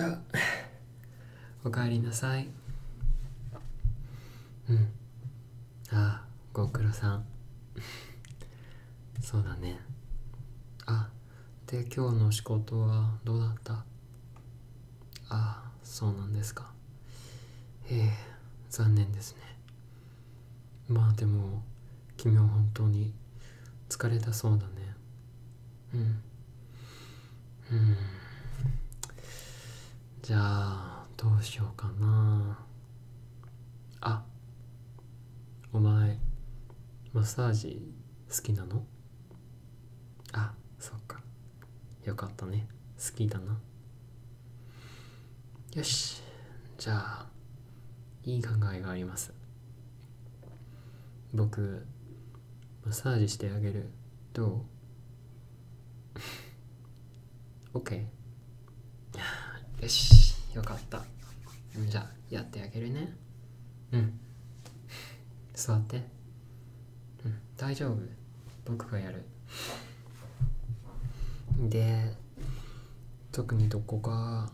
あおかえりなさいうんああ、ご苦労さん そうだねあで今日の仕事はどうだったああ、そうなんですかへえ残念ですねまあでも君は本当に疲れたそうだねうんうんじゃあどうしようかなあお前マッサージ好きなのあそっかよかったね好きだなよしじゃあいい考えがあります僕マッサージしてあげるどう ?OK よしよかったじゃあやってあげるねうん座ってうん大丈夫僕がやるで特にどこか。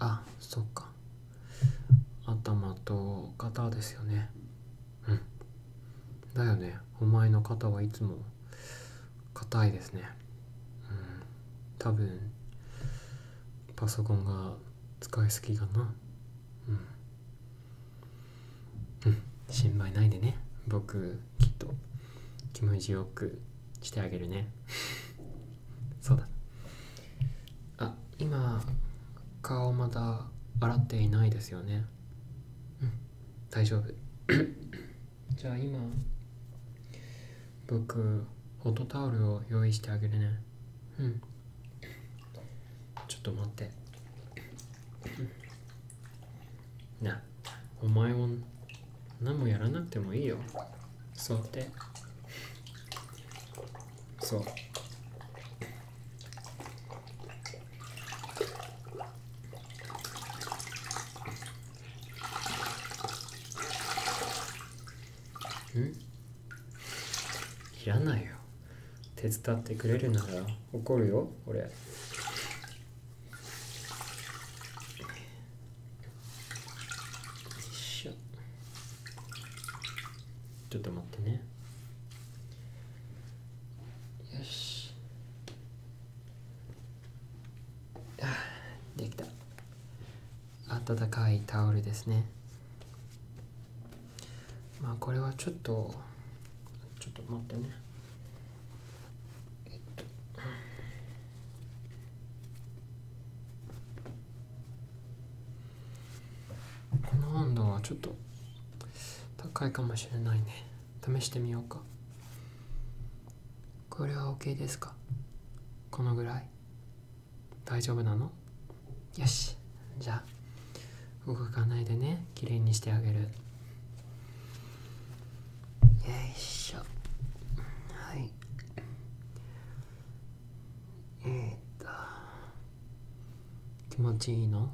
あそっか頭と肩ですよねうんだよねお前の肩はいつも硬いですねうん多分パソコンが使いすぎかなうん、うん、心配ないでね僕と気持ちよくしてあげるね そうだあ今顔まだ洗っていないですよねうん大丈夫 じゃあ今僕ホットタオルを用意してあげるねうんちょっと待ってなお前も何もやらなくてもいいよそうってそういらないよ手伝ってくれるなら怒るよ俺よいしょちょっと待ってねよしあできた暖かいタオルですねまあこれはちょっとちょっと待ってねえっとこの温度はちょっと高いかもしれないね試してみようかこれは OK ですかこのぐらい大丈夫なのよしじゃあ動かないでねきれいにしてあげる。よいしょはいえっと気持ちいいの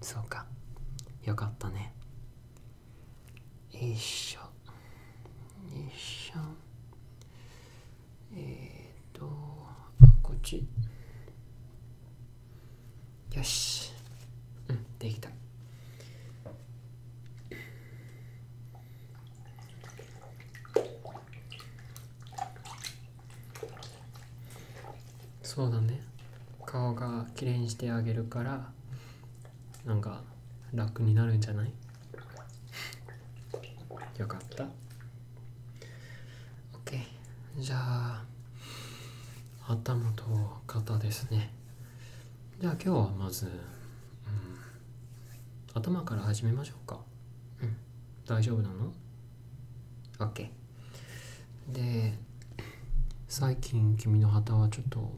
そうかよかったねよいしょよいしょえっとこっちよしうんできたそうだね顔がきれいにしてあげるからなんか楽になるんじゃないよかった OK じゃあ頭と肩ですねじゃあ今日はまず、頭から始めましょうか。うん、大丈夫なの ?OK。で、最近君の旗はちょっと、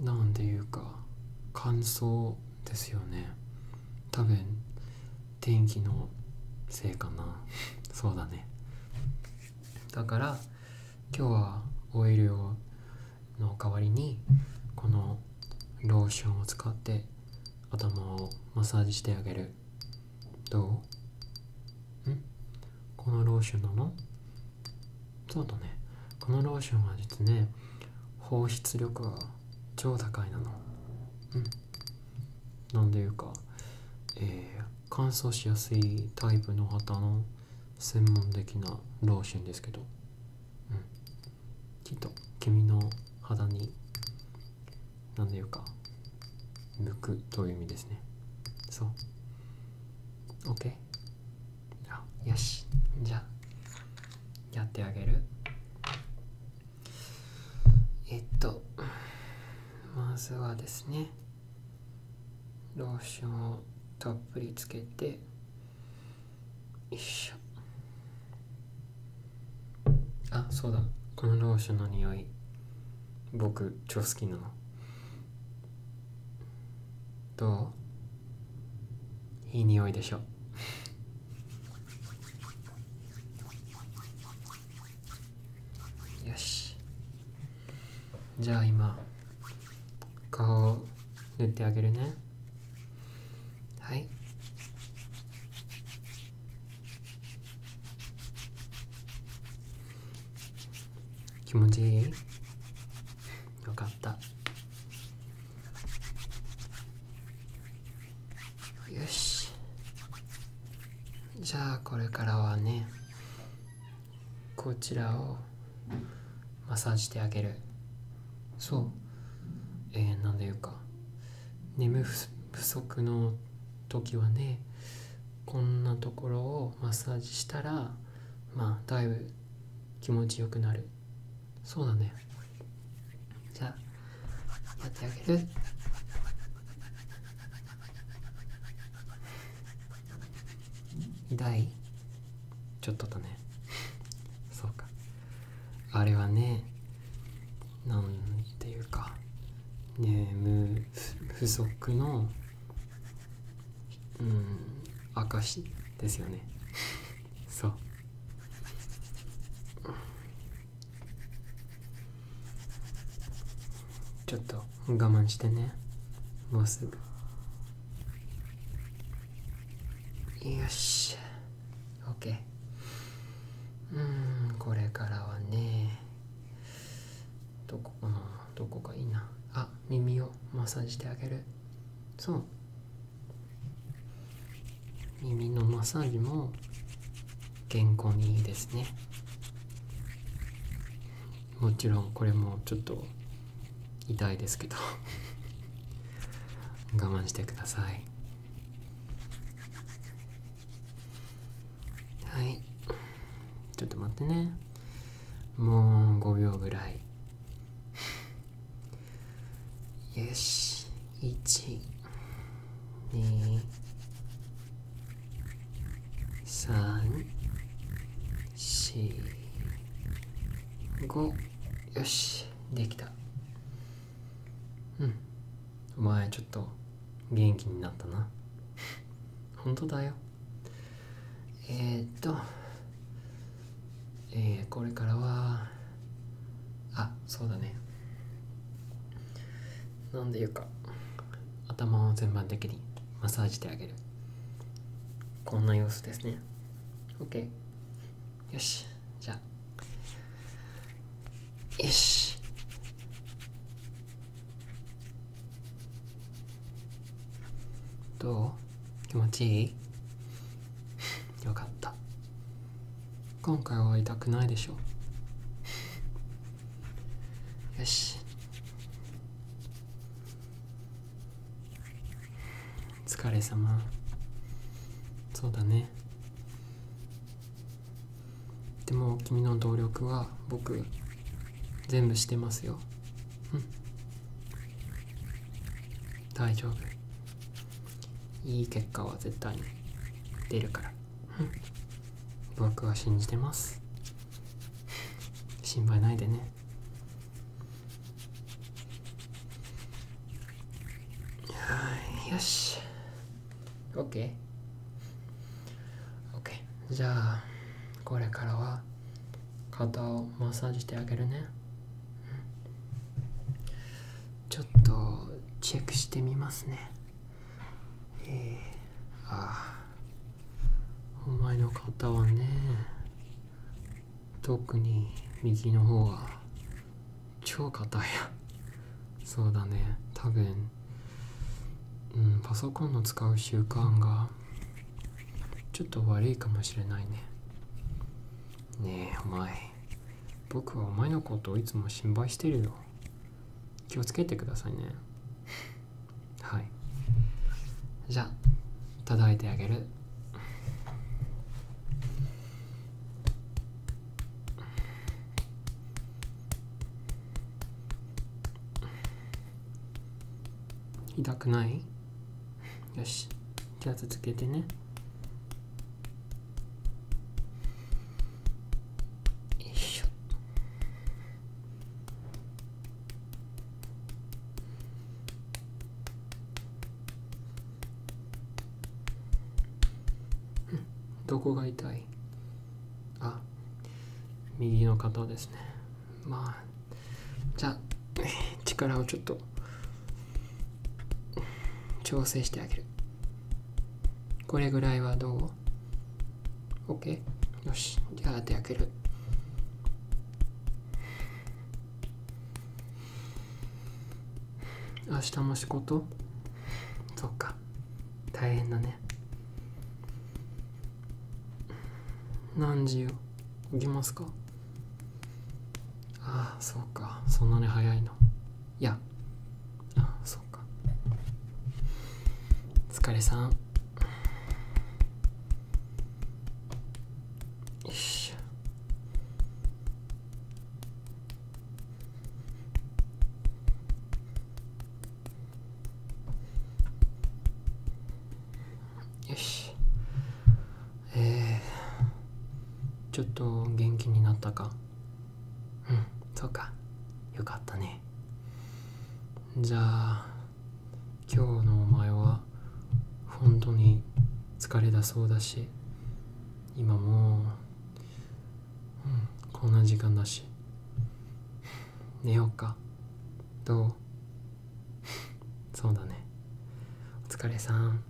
何ていうか、乾燥ですよね。多分、天気のせいかな。そうだね。だから、今日はオイルの代わりにこのローションを使って頭をマッサージしてあげるどうんこのローションなのそうだねこのローションは実ね放出力が超高いなのうんなんでいうかえー、乾燥しやすいタイプの旗の専門的な老ーですけど、うん、きっと君の肌に何でいうか向くという意味ですねそう OK あよしじゃやってあげるえっとまずはですねローションをたっぷりつけてよいしょあそうだこのローションの匂い僕超好きなのどういい匂いでしょよしじゃあ今顔を塗ってあげるねはい気持ちいいよかったよしじゃあこれからはねこちらをマッサージしてあげるそうえ何なでいうか眠不足の時はねこんなところをマッサージしたらまあだいぶ気持ちよくなるそうだねじゃあやってあげる痛いちょっとだねそうかあれはねなんていうか眠不足のうん証ですよねそうちょっと我慢してねもうすぐよし OK うんこれからはねどこかなどこかいいなあ耳をマッサージしてあげるそう耳のマッサージも健康にいいですねもちろんこれもちょっと痛いですけど 我慢してくださいはいちょっと待ってねもう5秒ぐらいよし1二三四五よしできたうんお前ちょっと元気になったな本当だよえっとえー、これからはあそうだねなんでいうか頭を全般的にマッサージしてあげるこんな様子ですね OK よしじゃあよしどう気持ちいいよかった今回は痛くないでしょ よし疲れ様そうだねでも君の努力は僕全部してますよ大丈夫いい結果は絶対に出るからうん僕は信じてます心配ないでねよし OK?OK、OK OK、じゃあこれからは肩をマッサージしてあげるねちょっとチェックしてみますねえああお前の肩はね特に右の方は超硬いやそうだね多分うんパソコンの使う習慣がちょっと悪いかもしれないねねえお前僕はお前のことをいつも心配してるよ気をつけてくださいね はいじゃあいただいてあげる痛くないよしじゃあ続けてねよいしょうんどこが痛いあ右の肩ですねまあじゃあ力をちょっと調整してあげるこれぐらいはどう ?OK? よし。じゃああと焼ける。明日も仕事そっか。大変だね。何時よ。行きますかああそうかそんなに早いのいやああそうか疲れさんよしょよしえちょっと元気になったかうんそうかよかったねじゃあ今日のお前は本当に疲れだそうだし今もう、ん、こんな時間だし寝ようかどう そうだねお疲れさん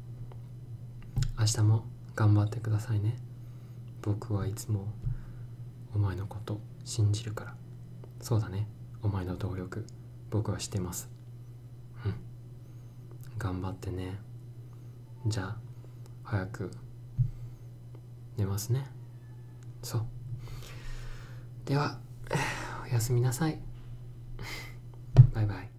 明日も頑張ってくださいね僕はいつもお前のこと信じるからそうだねお前の努力僕はしてますうん頑張ってねじゃあ早く寝ますねそうではおやすみなさいバイバイ